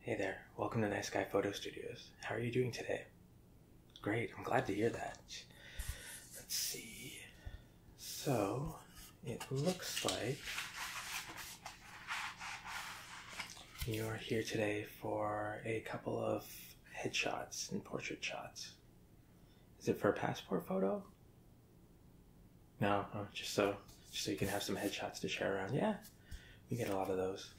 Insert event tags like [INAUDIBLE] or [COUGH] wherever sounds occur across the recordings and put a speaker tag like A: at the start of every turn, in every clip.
A: Hey there, welcome to Nice Guy Photo Studios. How are you doing today? Great, I'm glad to hear that. Let's see. So, it looks like you're here today for a couple of headshots and portrait shots. Is it for a passport photo? No, oh, just so just so you can have some headshots to share around. Yeah, we get a lot of those.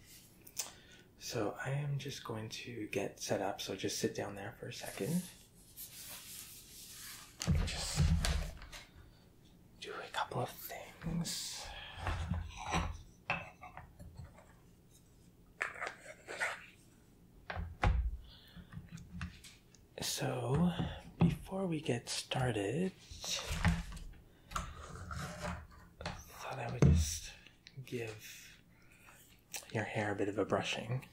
A: So I am just going to get set up. So just sit down there for a second. Just do a couple of things. So, before we get started, thought I would just give your hair a bit of a brushing.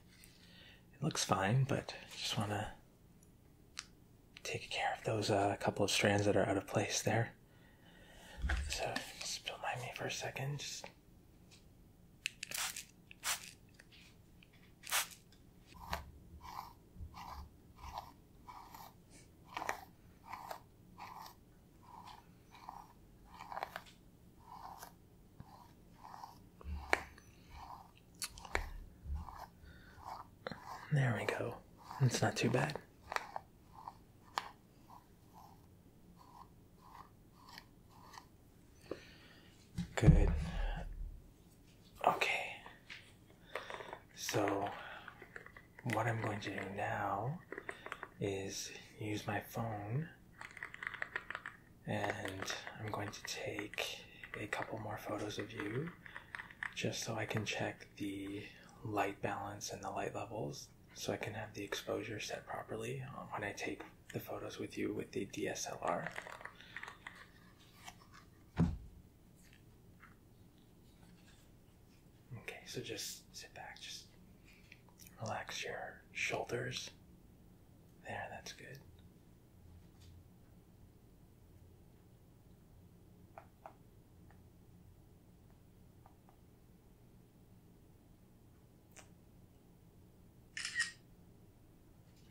A: It looks fine, but just want to take care of those a uh, couple of strands that are out of place there. So, just don't mind me for a second. Just there we go. It's not too bad. Good. Okay. So, what I'm going to do now is use my phone and I'm going to take a couple more photos of you just so I can check the light balance and the light levels so I can have the exposure set properly uh, when I take the photos with you with the DSLR. Okay, so just sit back, just relax your shoulders. There, that's good.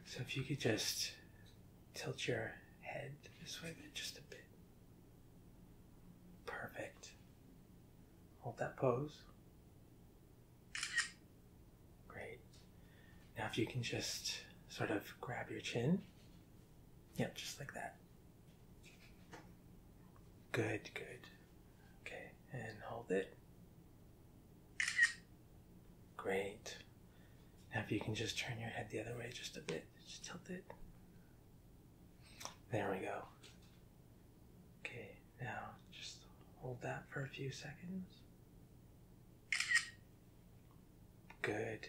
A: So if you could just tilt your head this way just a bit. Perfect. Hold that pose. Great. Now, if you can just sort of grab your chin. Yep, just like that. Good, good. Okay, and hold it. Great. Now, if you can just turn your head the other way just a bit, just tilt it. There we go. Okay, now just hold that for a few seconds. Good.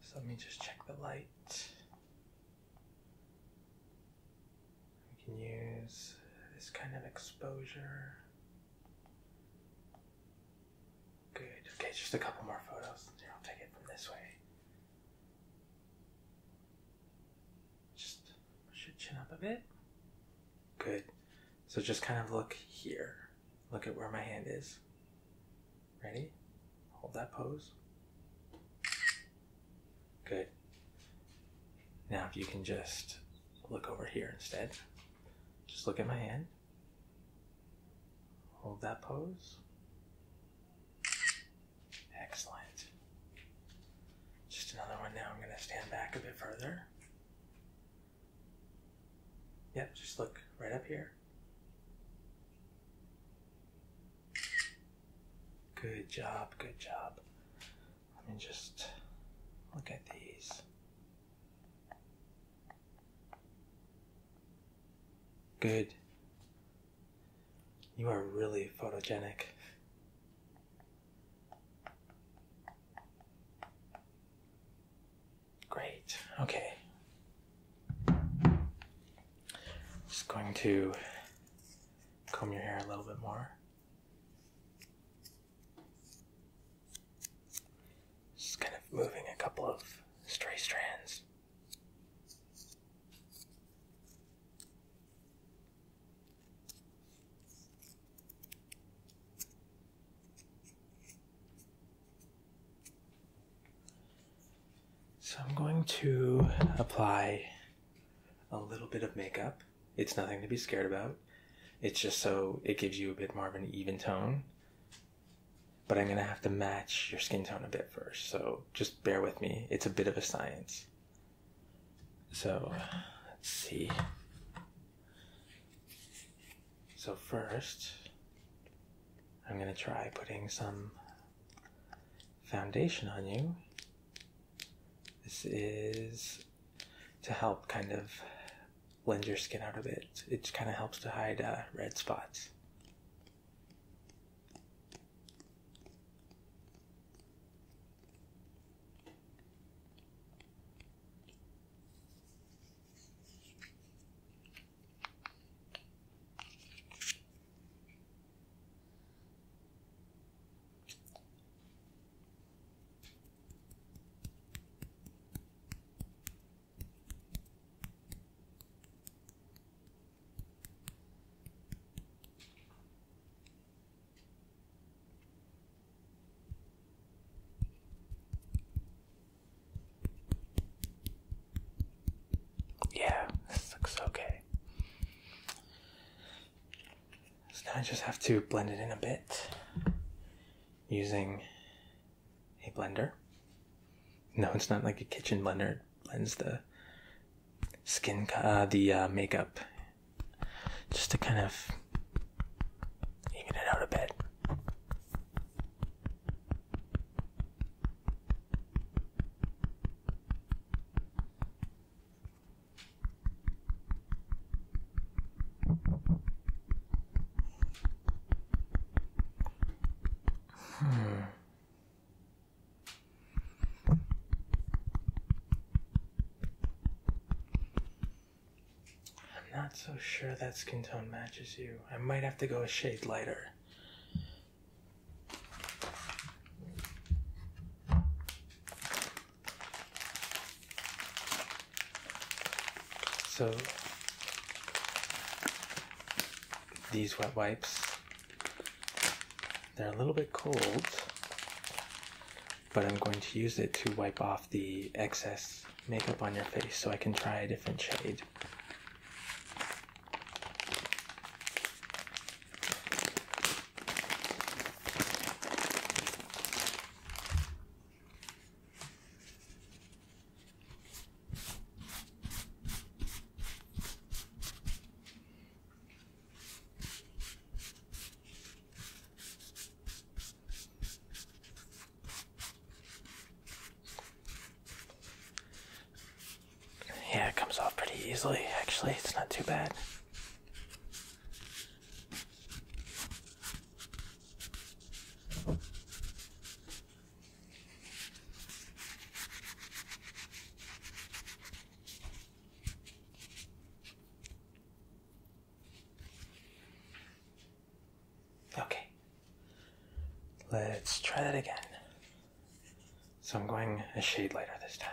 A: So let me just check the light. We can use this kind of exposure. Good. Okay, just a couple more photos. Here, I'll take it from this way. Just push your chin up a bit. Good. So just kind of look here. Look at where my hand is. Ready? Hold that pose. Good. Now, if you can just look over here instead, just look at my hand. Hold that pose. Excellent. Just another one now. I'm going to stand back a bit further. Yep, just look right up here. Good job, good job. Let me just look at these. Good. You are really photogenic. Great. Okay. Just going to comb your hair a little bit more. Just kind of moving a couple of stray strands. So I'm going to apply a little bit of makeup. It's nothing to be scared about. It's just so it gives you a bit more of an even tone but I'm going to have to match your skin tone a bit first. So just bear with me. It's a bit of a science. So let's see. So, first, I'm going to try putting some foundation on you. This is to help kind of lend your skin out a bit. It kind of helps to hide uh, red spots. Yeah, this looks okay. So now I just have to blend it in a bit using a blender. No, it's not like a kitchen blender. blends the skin, uh, the uh, makeup, just to kind of even it out a bit. I'm not so sure that skin tone matches you. I might have to go a shade lighter. So these wet wipes. They're a little bit cold, but I'm going to use it to wipe off the excess makeup on your face so I can try a different shade. Yeah, it comes off pretty easily, actually. It's not too bad. Okay, let's try that again. So I'm going a shade lighter this time.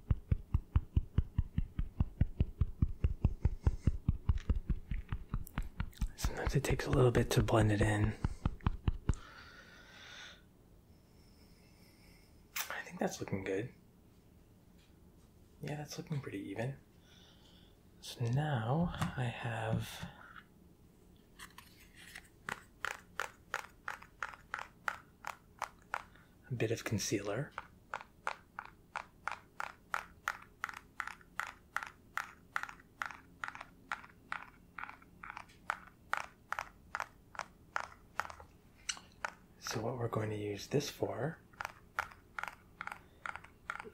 A: Sometimes it takes a little bit to blend it in. I think that's looking good. Yeah, that's looking pretty even. So now I have a bit of concealer. So what we're going to use this for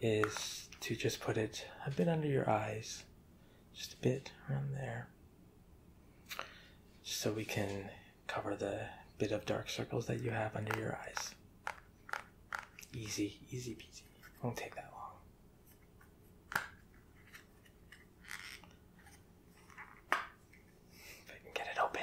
A: is to just put it a bit under your eyes, just a bit around there, so we can cover the bit of dark circles that you have under your eyes. Easy, easy peasy. Won't take that long. If I can get it open.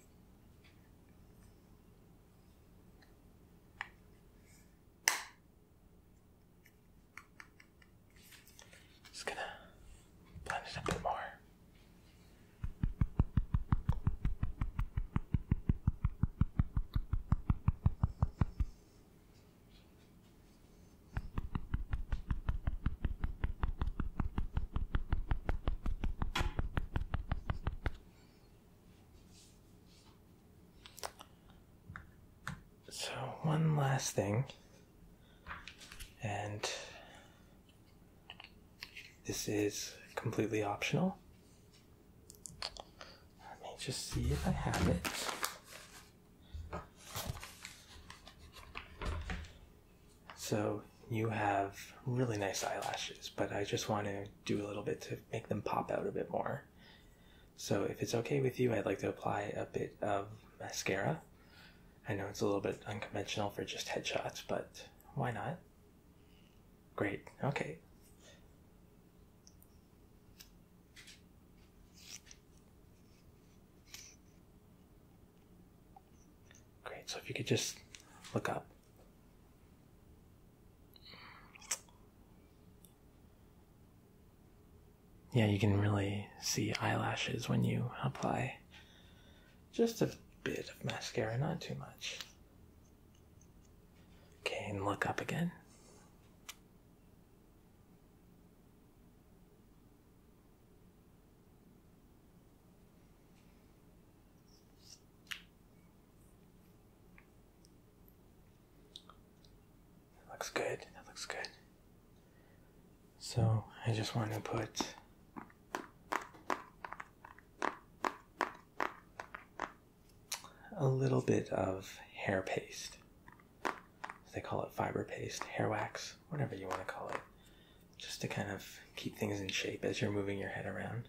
A: Just gonna blend it a bit more. So, one last thing, and this is completely optional. Let me just see if I have it. So you have really nice eyelashes, but I just want to do a little bit to make them pop out a bit more. So if it's okay with you, I'd like to apply a bit of mascara. I know it's a little bit unconventional for just headshots, but why not? Great, okay. Great, so if you could just look up. Yeah, you can really see eyelashes when you apply just a bit of mascara, not too much. Okay, and look up again looks good. looks good. So I just want to put a little bit of hair paste. They call it fiber paste, hair wax, whatever you want to call it just to kind of keep things in shape as you're moving your head around.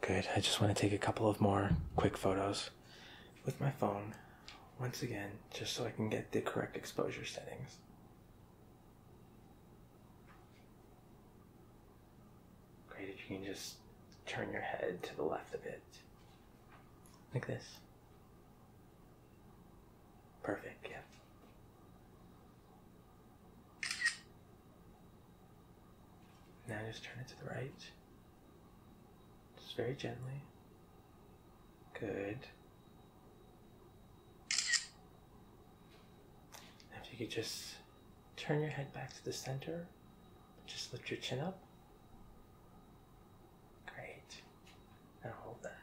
A: Good. I just want to take a couple of more quick photos with my phone once again, just so I can get the correct exposure settings. Great if you can just turn your head to the left a bit. Like this. Perfect, yeah. Now just turn it to the right. Just very gently. Good. if you could just turn your head back to the center just lift your chin up. Great. Now hold that.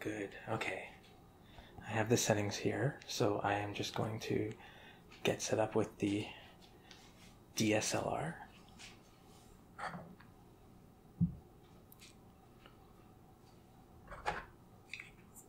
A: Good. Okay. I have the settings here, so I am just going to get set up with the DSLR.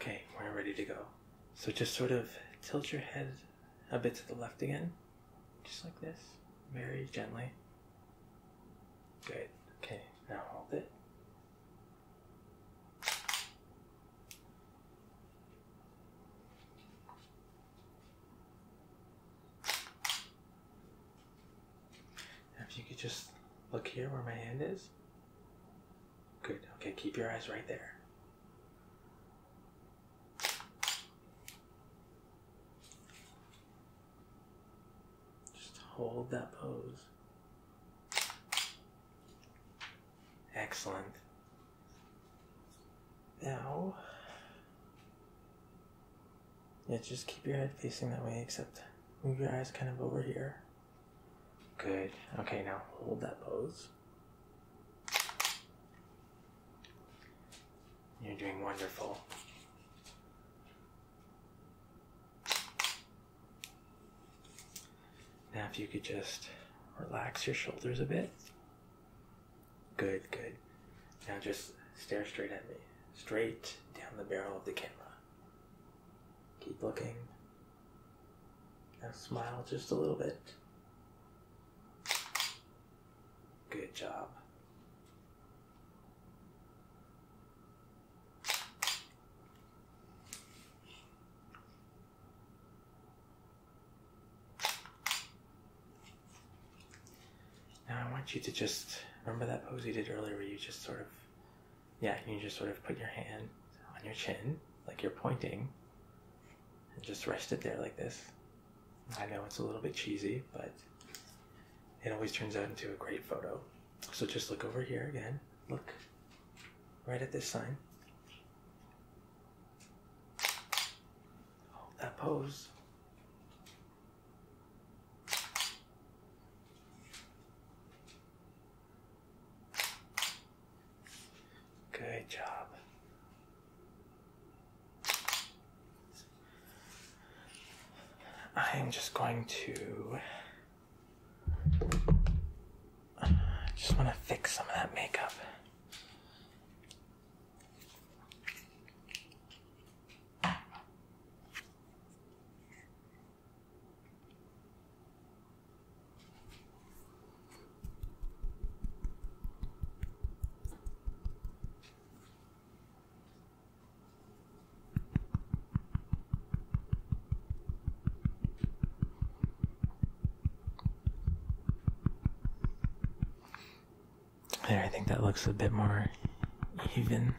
A: Okay, we're ready to go. So just sort of tilt your head a bit to the left again. Just like this. Very gently. Good. Okay, now hold it. If you could just look here where my hand is. Good. Okay, keep your eyes right there. Just hold that pose. Excellent. Now, yeah, just keep your head facing that way, except move your eyes kind of over here. Good. Okay, now hold that pose. You're doing wonderful. Now, if you could just relax your shoulders a bit. Good, good. Now just stare straight at me, straight down the barrel of the camera. Keep looking. Now smile just a little bit. Good job. Now I want you to just remember that pose you did earlier where you just sort of, yeah, you just sort of put your hand on your chin like you're pointing and just rest it there like this. I know it's a little bit cheesy, but it always turns out into a great photo. So just look over here again. Look right at this sign. Hold oh, that pose. Good job. I'm just going to just want to fix some of that makeup. There, I think that looks a bit more even.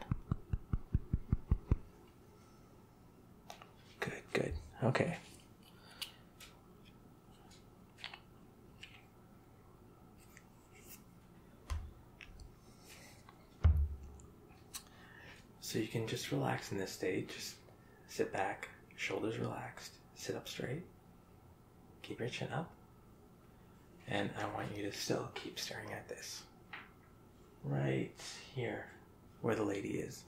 A: Good, good. Okay. So you can just relax in this state. Just sit back, shoulders relaxed, sit up straight, keep your chin up. And I want you to still keep staring at this. Right here, where the lady is.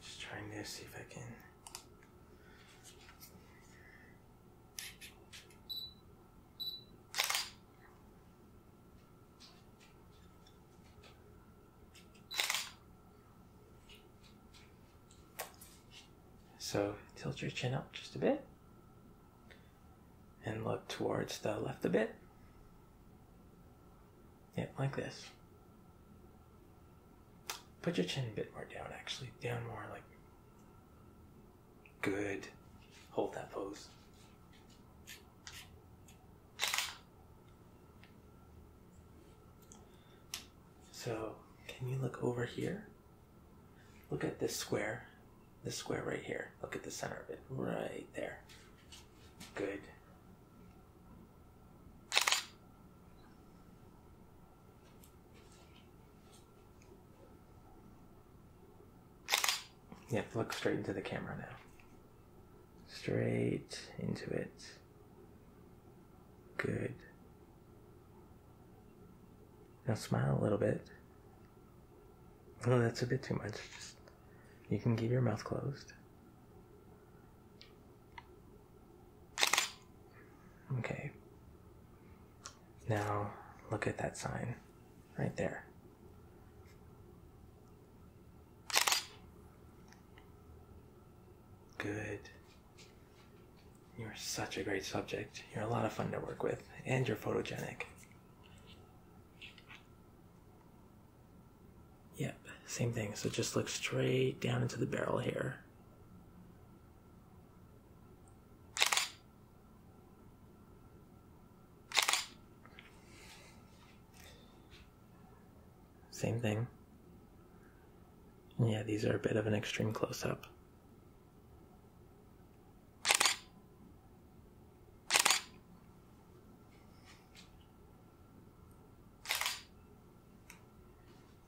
A: Just trying to see if I can so tilt your chin up just a bit and look towards the left a bit. Yeah, like this. Put your chin a bit more down, actually. Down more, like Good. Hold that pose. So, can you look over here? Look at this square. This square right here. Look at the center of it. Right there. Good. Yeah, look straight into the camera now. Straight into it. Good. Now smile a little bit. Oh, that's a bit too much. Just, you can keep your mouth closed. Okay. Now, look at that sign right there. Good. You're such a great subject. You're a lot of fun to work with, and you're photogenic. Yep, same thing. So just look straight down into the barrel here. Same thing. Yeah, these are a bit of an extreme close up.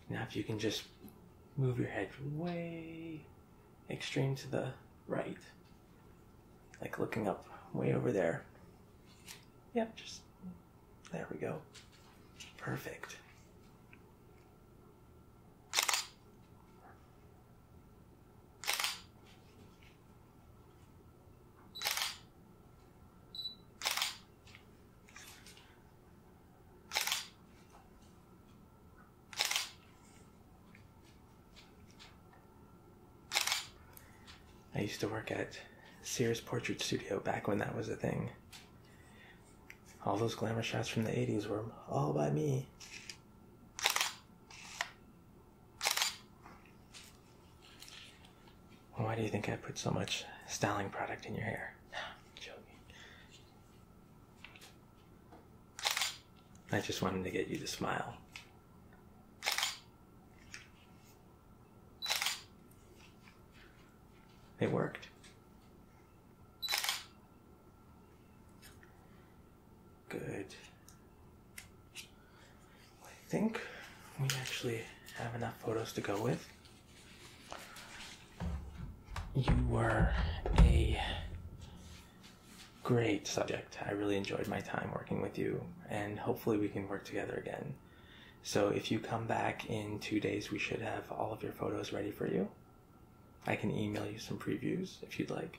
A: Now, if you can just move your head way extreme to the right. Like looking up way over there. Yep, just there we go. Perfect. I used to work at Sears Portrait Studio back when that was a thing. All those glamour shots from the 80s were all by me. Why do you think I put so much styling product in your hair? [SIGHS] Joking. I just wanted to get you to smile. It worked. Good. I think we actually have enough photos to go with. You were a great subject. I really enjoyed my time working with you, and hopefully, we can work together again. So, if you come back in two days, we should have all of your photos ready for you. I can email you some previews if you'd like.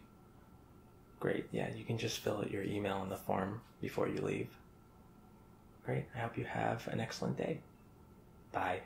A: Great, yeah, you can just fill out your email in the form before you leave. Great, I hope you have an excellent day. Bye.